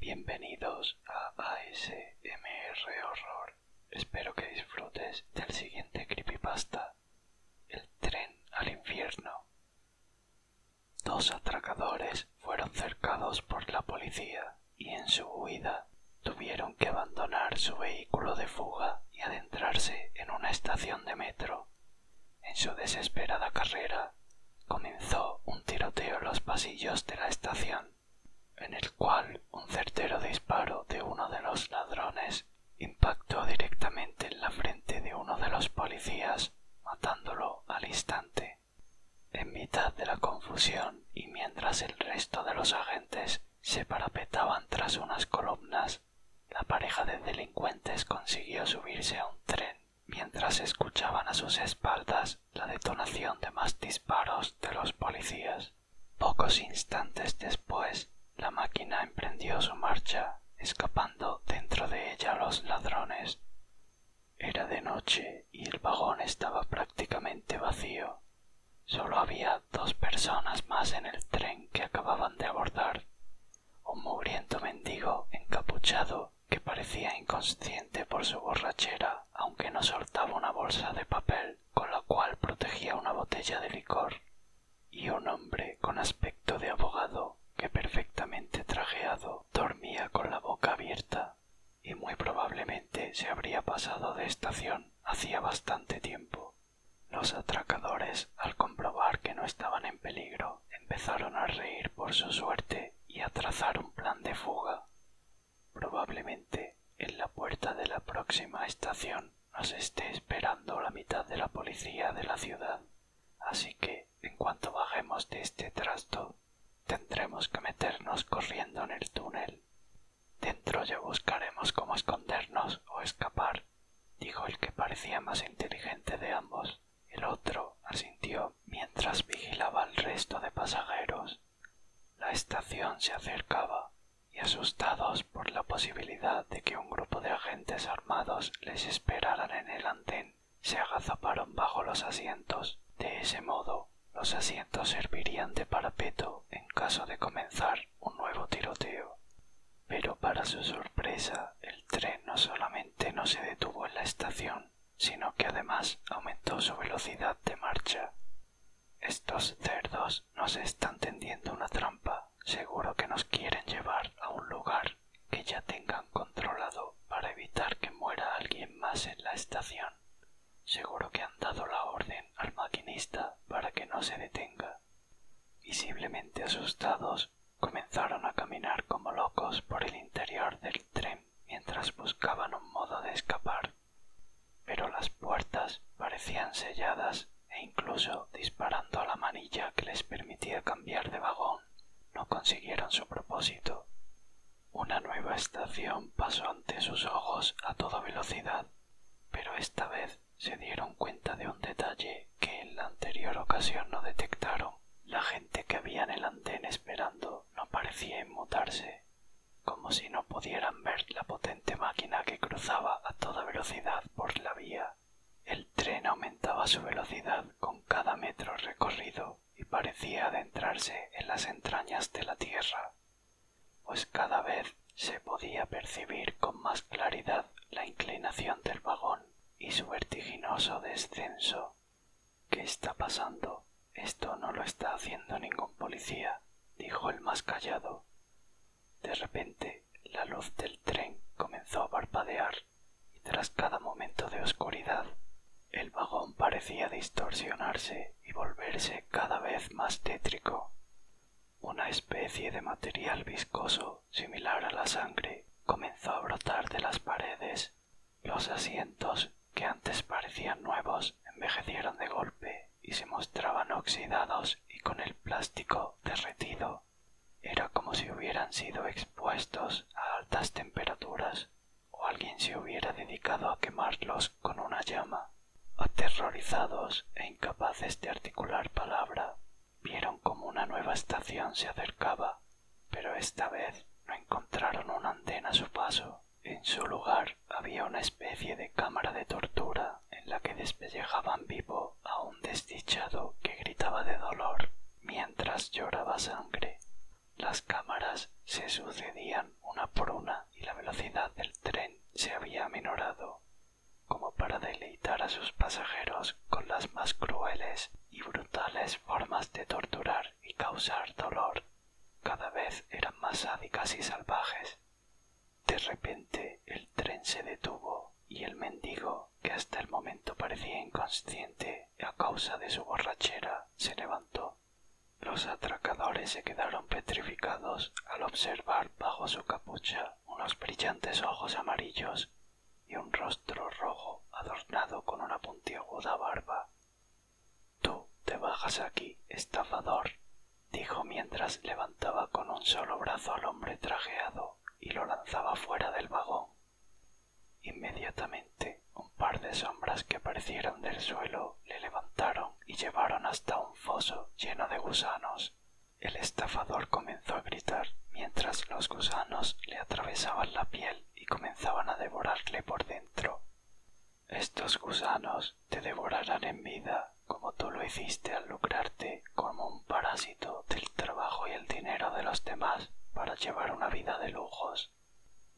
Bienvenidos a ASMR Horror. Espero que disfrutes del siguiente creepypasta. El tren al infierno. Dos atracadores fueron cercados por la policía y en su huida tuvieron que abandonar su vehículo de fuga y adentrarse en una estación de metro. En su desesperada carrera, comenzó un tiroteo en los pasillos de la estación, en el cual un certero disparo de uno de los ladrones impactó directamente en la frente de uno de los policías, matándolo al instante. En mitad de la confusión y mientras el resto de los se parapetaban tras unas columnas, la pareja de delincuentes consiguió subirse a un tren mientras escuchaban a sus espaldas la detonación de más disparos de los policías. Pocos instantes después, la máquina emprendió su marcha, escapando dentro de ella los ladrones. Era de noche y el vagón estaba prácticamente vacío. Solo había dos personas más en el tren que acababan de abordar. Un mugriento mendigo encapuchado que parecía inconsciente por su borrachera, aunque no soltaba una bolsa de papel con la cual protegía una botella de licor, y un hombre con aspecto de abogado que perfectamente trajeado dormía con la boca abierta y muy probablemente se habría pasado de estación hacía bastante tiempo. Los atracadores, al comprobar que no estaban en peligro, empezaron a reír por su suerte y a trazar un plan de fuga. Probablemente en la puerta de la próxima estación nos esté esperando la mitad de la policía de la ciudad, así que en cuanto bajemos de este trasto, tendremos que meternos corriendo en el túnel. Dentro ya buscaremos cómo escondernos o escapar, dijo el que parecía más inteligente de ambos. El otro asintió mientras vigilaba al resto de pasajeros. La estación se acercaba, y asustados por la posibilidad de que un grupo de agentes armados les esperaran en el andén, se agazaparon bajo los asientos. De ese modo, los asientos servirían de parapeto en caso de comenzar un nuevo tiroteo. Pero para su sorpresa, el tren no solamente no se detuvo en la estación, sino que además aumentó su velocidad de marcha. Estos cerdos nos están tendiendo una trampa, seguro que nos quieren llevar a un lugar que ya tengan controlado para evitar que muera alguien más en la estación. Seguro que han dado la orden al maquinista para que no se detenga. Visiblemente asustados, comenzaron a caminar como locos por el interior del tren mientras buscaban un modo de escapar. Pero las puertas parecían selladas e incluso disparando a la manilla que les permitía cambiar de vagón, no consiguieron su propósito. Una nueva estación pasó ante sus ojos a toda velocidad, pero esta vez se dieron cuenta de un detalle que en la anterior ocasión no detectaron. La gente que había en el andén esperando no parecía inmutarse, como si no pudieran ver la potente máquina que cruzaba a toda velocidad por la vía el tren aumentaba su velocidad con cada metro recorrido y parecía adentrarse en las entrañas de la tierra, pues cada vez se podía percibir con más claridad la inclinación del vagón y su vertiginoso descenso. ¿Qué está pasando? Esto no lo está haciendo ningún policía, dijo el más callado. De repente la luz del tren comenzó a parpadear y tras cada momento de oscuridad el vagón parecía distorsionarse y volverse cada vez más tétrico. Una especie de material viscoso similar a la sangre comenzó a brotar de las paredes. Los asientos, que antes parecían nuevos, envejecieron de golpe y se mostraban oxidados y con el plástico derretido. Era como si hubieran sido expuestos a altas temperaturas o alguien se hubiera dedicado a quemarlos con una llama. Aterrorizados e incapaces de articular palabra, vieron como una nueva estación se acercaba, pero esta vez no encontraron un antena a su paso. En su lugar había una especie de cámara de tortura en la que despellejaban vivo a un desdichado que gritaba de dolor mientras lloraba sangre. Las cámaras se sucedían una por una y la velocidad del tren se había menorado, como para deleitar a sus pasajeros con las más crueles y brutales formas de torturar y causar dolor cada vez eran más sádicas y salvajes. De repente el tren se detuvo y el mendigo, que hasta el momento parecía inconsciente a causa de su borrachera, se levantó. Los atracadores se quedaron petrificados al observar bajo su capucha unos brillantes ojos amarillos y un rostro rojo adornado con una puntiaguda barba. Tú te bajas aquí, estafador, dijo mientras levantaba con un solo brazo al hombre trajeado y lo lanzaba fuera del vagón. Inmediatamente un par de sombras que aparecieron del suelo le levantaron y llevaron hasta un foso lleno de gusanos. El estafador comenzó a gritar mientras los gusanos le atravesaban la piel y comenzaban a devorarle por dentro. Estos gusanos te devorarán en vida como tú lo hiciste al lucrarte como un parásito del trabajo y el dinero de los demás para llevar una vida de lujos,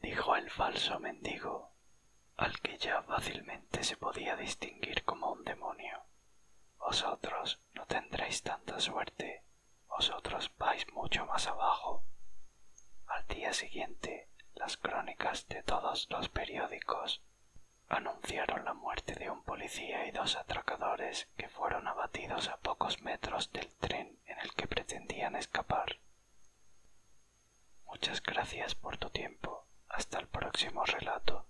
dijo el falso mendigo, al que ya fácilmente se podía distinguir como un demonio. Vosotros no tendréis tanta suerte, vosotros vais mucho más abajo. Al día siguiente, las crónicas de todos los periódicos anunciaron la muerte de un policía y dos atracadores que fueron abatidos a pocos metros del tren en el que pretendían escapar. Muchas gracias por tu tiempo. Hasta el próximo relato.